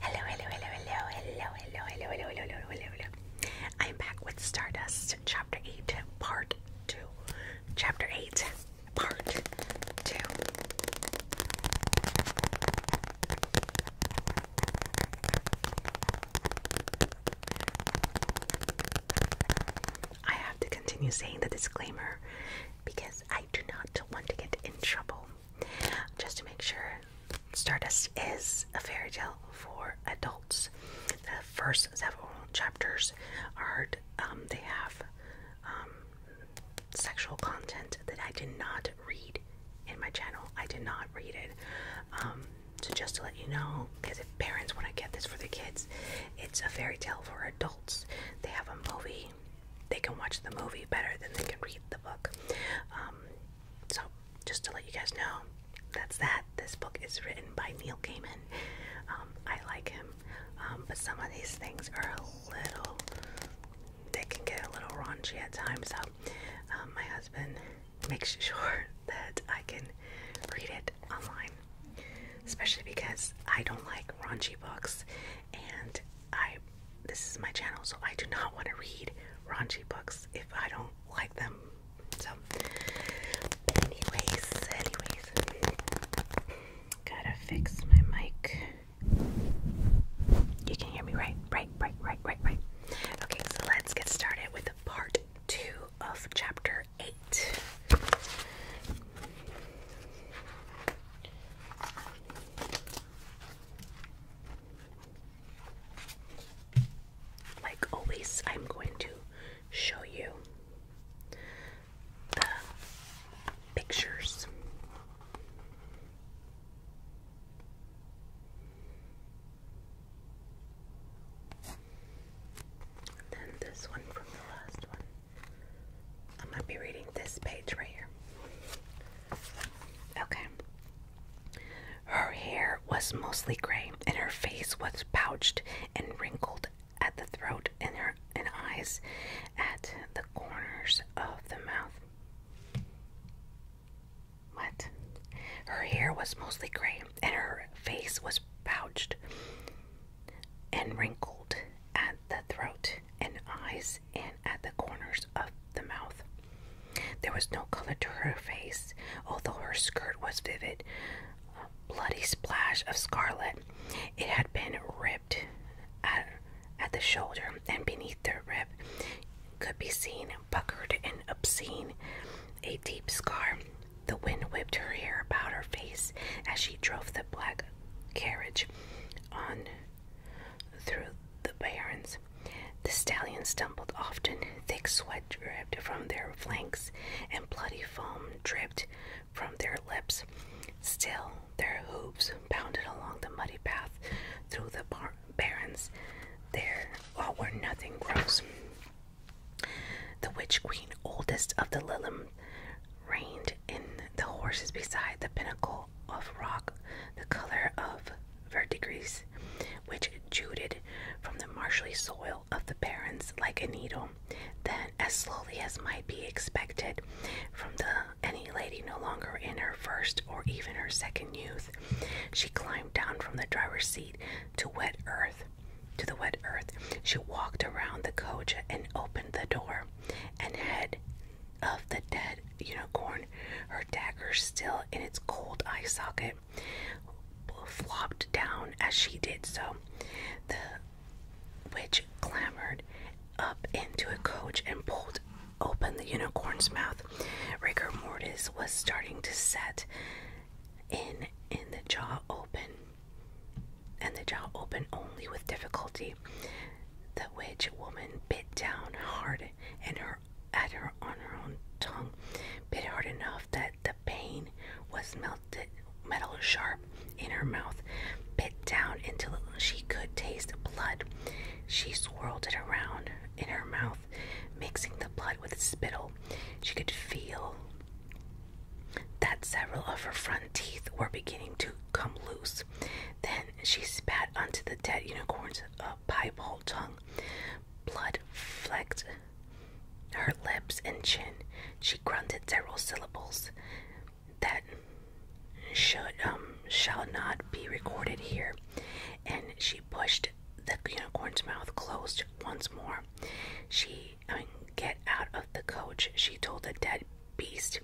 Hello, hello, hello, hello, hello, hello, hello, hello, hello, hello, I'm back with Stardust Chapter 8, Part 2. Chapter 8, Part 2. I have to continue saying the disclaimer because I do not want to get in trouble. Just to make sure, Stardust is a fairy tale for adults. The first several chapters are um, they have um, sexual content that I did not read in my channel. I did not read it. Um, so just to let you know, because if parents want to get this for their kids, it's a fairy tale for adults. They have a movie they can watch the movie better than they can read the book. Um, so, just to let you guys know, that's that. This book is written by Neil Gaiman. Um, I like him, um, but some of these things are a little. They can get a little raunchy at times. So, my husband makes sure that I can read it online, especially because I don't like raunchy books and I this is my channel, so I do not want to read raunchy books if I don't like them. So, anyways, anyways, gotta fix my mic. You can hear me, right? Right, right, right, right, right. Okay, so let's get started with part two of chapter eight. Like always, I'm going to show you the pictures. then this one from the last one. I'm going to be reading this page right here. Okay. Her hair was mostly gray, and her face was pouched and wrinkled at the throat and her and eyes at the corners of the mouth. What? Her hair was mostly gray, and her face was pouched and wrinkled at the throat and eyes and at the corners of the mouth. There was no color to her face, although her skirt was vivid, a bloody splash of scarlet. It had been ripped at, at the shoulder, and beneath the rib could be seen, puckered and obscene, a deep scar the wind whipped her hair about her face as she drove the black carriage on through the barrens. The stallions stumbled often, thick sweat dripped from their flanks, and bloody foam dripped from their lips. Still, their hooves pounded along the muddy path through the barrens. There oh, nothing grows. The witch queen, oldest of the Lillum Reined in the horses beside the pinnacle of rock, the color of verdigris, which jutted from the marshy soil of the barrens like a needle. Then, as slowly as might be expected from the any lady no longer in her first or even her second youth, she climbed down from the driver's seat to wet earth to the wet earth. She walked around the coach and opened the door and head of the dead unicorn, her dagger still in its cold eye socket, flopped down as she did so. The witch clambered up into a coach and pulled open the unicorn's mouth. Rigor mortis was starting to set in in the jaw open and the jaw opened only with difficulty. The witch woman bit down hard and her at her on her own tongue, bit hard enough that the pain was melted metal sharp in her mouth, bit down until she could taste blood. She swirled it around in her mouth, mixing the blood with spittle. She could feel that several of her front teeth were beginning to come loose. Then she spat onto the dead unicorn's uh, piebald tongue. Blood flecked her lips and chin. She grunted several syllables that should um shall not be recorded here, and she pushed the unicorn's mouth closed once more. She I get out of the coach, she told the dead beast.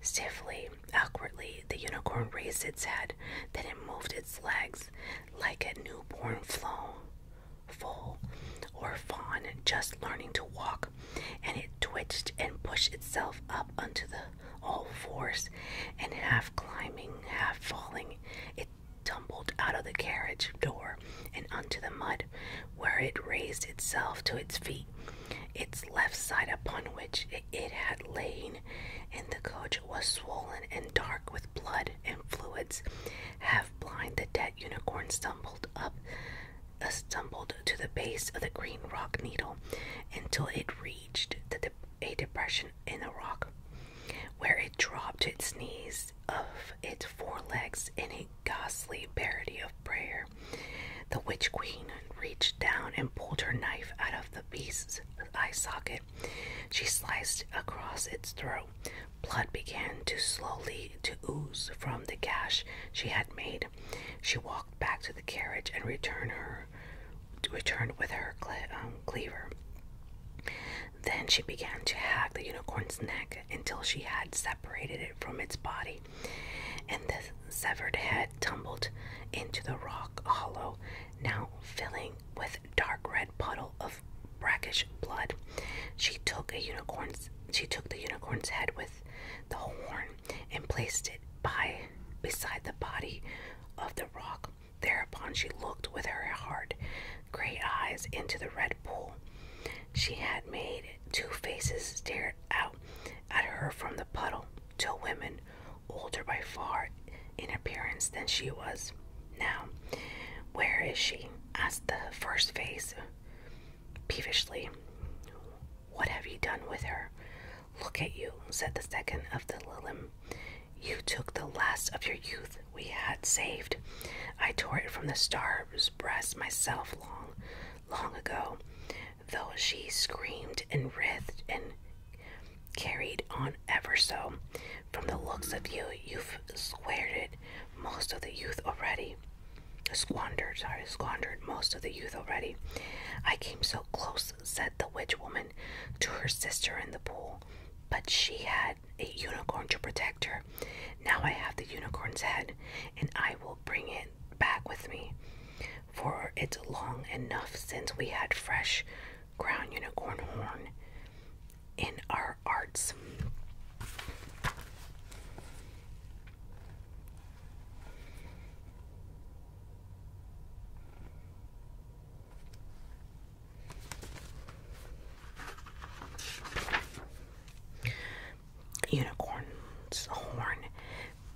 Stiffly, awkwardly, the unicorn raised its head. Then it moved its legs like a newborn flow, full or fawn just learning to walk. And it twitched and pushed itself up onto the all fours and half climbing, half falling. It tumbled out of the carriage door and onto the mud, where it raised itself to its feet, its left side upon which it had lain, and the coach was swollen and dark with blood and fluids. Half blind, the dead unicorn stumbled up, uh, stumbled to the base of the green rock needle until it reached the a depression in the rock, where it dropped to its knees of its forelegs in a ghastly parody of prayer. The witch queen reached down and pulled her knife out of the beast's eye socket. She sliced across its throat. Blood began to slowly to ooze from the gash she had made. She walked back to the carriage and returned her returned with her um, cleaver. Then she began to hack the unicorn's neck until she had separated it from its body, and the severed head tumbled into the rock hollow, now filling with dark red puddle of brackish blood. She took a unicorn's she took the unicorn's head with the horn and placed it by beside the body of the rock Thereupon she looked with her hard gray eyes into the red pool. She had made two faces stare out at her from the puddle, till women, older by far in appearance than she was. Now, where is she? asked the first face peevishly. What have you done with her? Look at you, said the second of the lilim. You took the last of your youth we had saved. I tore it from the star's breast myself long, long ago, though she screamed and writhed and carried on ever so. From the looks of you, you've squandered most of the youth already. Squandered, squandered most of the youth already. I came so close, said the witch woman to her sister in the pool, but she had a unicorn to protect her. Now I have the unicorn's head, and I will bring it back with me. For it's long enough since we had fresh ground unicorn horn in our arts. Unicorn's horn.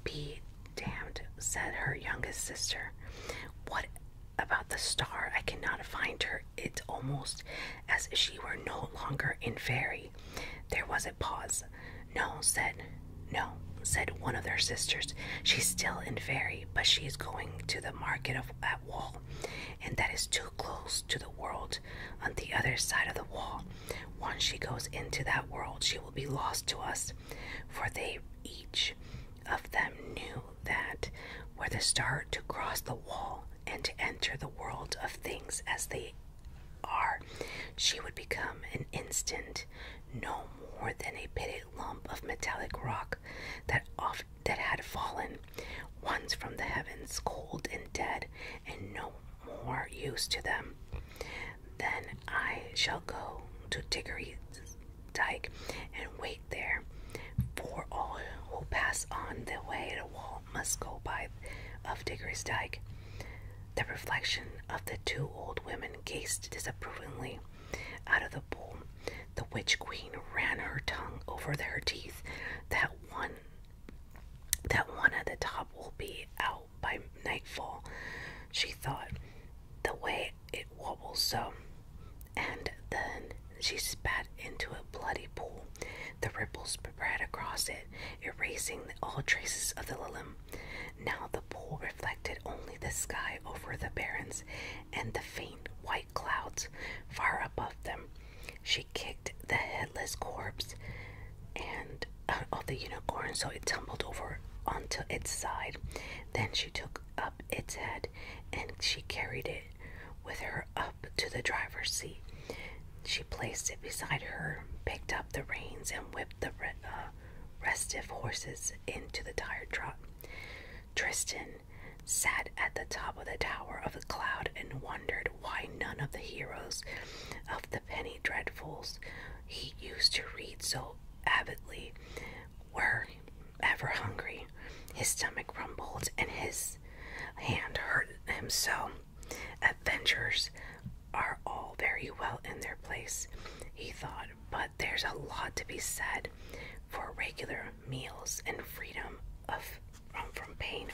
Be damned, said her youngest sister. What about the star? I cannot find her. It's almost as if she were no longer in fairy. There was a pause. No, said no, said one of their sisters. She's still in fairy, but she is going to the market of wall, and that is too close to the world on the other side of the wall. Once she goes into that world, she will be lost to us, for they each of them knew that were the star to cross the wall and to enter the world of things as they are, she would become an instant no more than a pitted lump of metallic rock that off that had fallen, once from the heavens, cold and dead, and no more use to them. Then I shall go to Diggory's Dyke, and wait there, for all who pass on the way the wall must go by of Diggory's Dyke. The reflection of the two old women gazed disapprovingly out of the pool the witch queen ran her tongue over their teeth. That one that one at the top will be out by nightfall, she thought, the way it wobbles so. Um, and then she spat into a bloody pool. The ripples spread across it, erasing all traces of the lilum. Now the pool reflected only the sky over the barrens and the faint white clouds far above them. She kicked the headless corpse and uh, of the unicorn so it tumbled over onto its side. Then she took up its head and she carried it with her up to the driver's seat. She placed it beside her, picked up the reins, and whipped the uh, restive horses into the tired trot. Tristan sat at the top of the tower of the cloud and wondered why none of the heroes of the penny dreadfuls he used to read so avidly were ever hungry. His stomach rumbled and his hand hurt him so. Adventurers are all very well in their place, he thought, but there's a lot to be said for regular meals and freedom of from pain.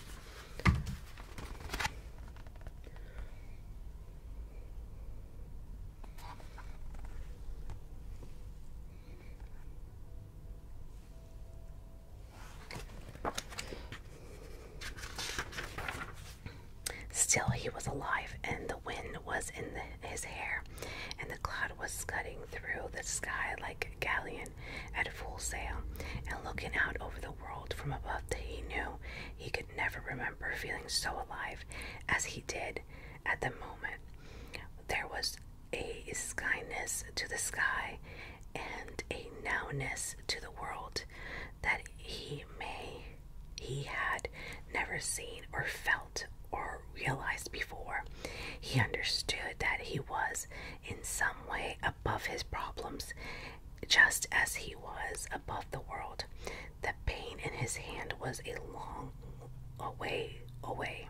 Still, he was alive, and the wind was in his hair, and the cloud was scudding through the sky like a galleon at full sail, and looking out over the world from above he knew he could never remember feeling so alive as he did at the moment. There was a skyness to the sky and a nowness to the world that he may he had never seen or felt or realized before. He understood that he was in some way above his problems, just as he was above the world. The pain in his hand was a long way away.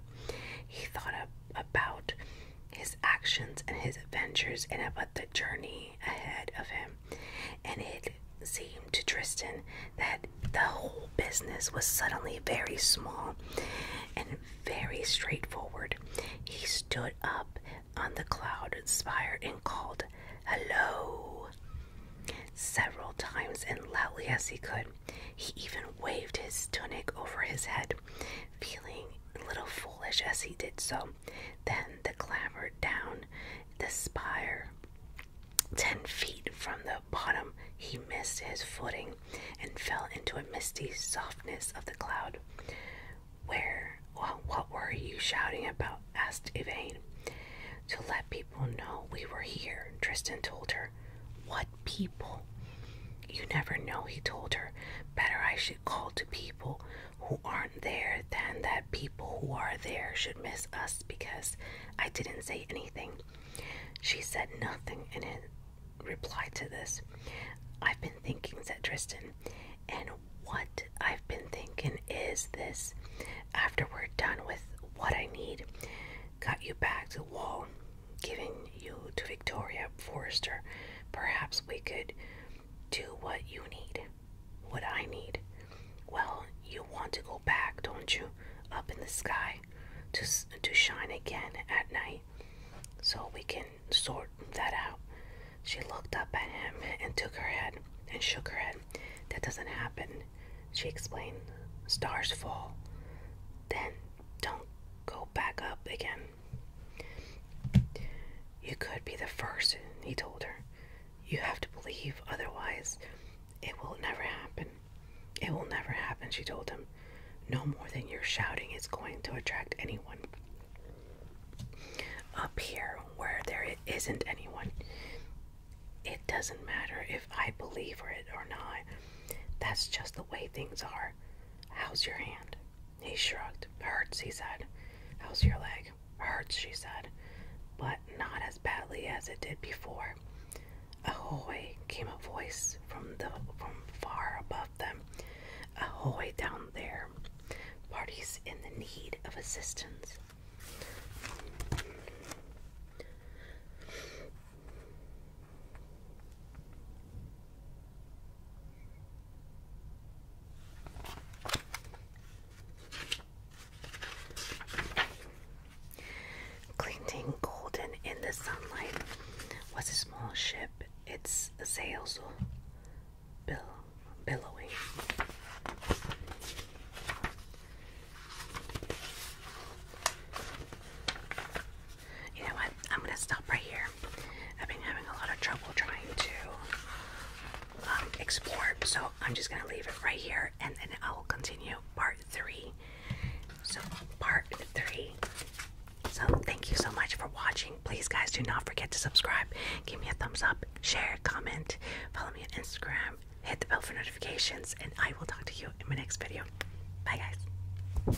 He thought about his actions and his adventures and about the journey ahead of him and it seemed to Tristan that the whole business was suddenly very small and very straightforward. He stood up on the cloud spire and called, Hello! Several times and loudly as he could. He even waved his tunic over his head, feeling a little foolish as he did so. Then the clambered down the spire Ten feet from the bottom, he missed his footing and fell into a misty softness of the cloud. Where, what were you shouting about? asked Yvain. To let people know we were here, Tristan told her. What people? You never know, he told her. Better I should call to people who aren't there than that people who are there should miss us because I didn't say anything. She said nothing and in reply to this. I've been thinking, said Tristan, and what I've been thinking is this. After we're done with what I need, got you back to wall, giving you to Victoria Forrester, perhaps we could do what you need. What I need? Well, you want to go back, don't you? Up in the sky to, to shine again at night. So we can sort that out. She looked up at him and took her head and shook her head. That doesn't happen, she explained. Stars fall. Then don't go back up again. You could be the first, he told her. You have to believe, otherwise, it will never happen. It will never happen, she told him. No more than your shouting is going to attract anyone. Up here, where there isn't anyone, it doesn't matter if I believe it or not. That's just the way things are. How's your hand? He shrugged. Hurts, he said. How's your leg? Hurts, she said, but not as badly as it did before. Ahoy! came a voice from the from far above them. Ahoy down there. Parties in the need of assistance. Glinting golden in the sunlight was a small ship, its sails bill billowing. You know what? I'm gonna stop right here. I've been having a lot of trouble trying to um, explore. So I'm just gonna leave it right here, and then I will continue part three. So part three. So thank you so much for watching. Please, guys, do not forget to subscribe. Give me a thumbs up, share, comment, follow me on Instagram, hit the bell for notifications, and I will talk to you in my next video. Bye, guys.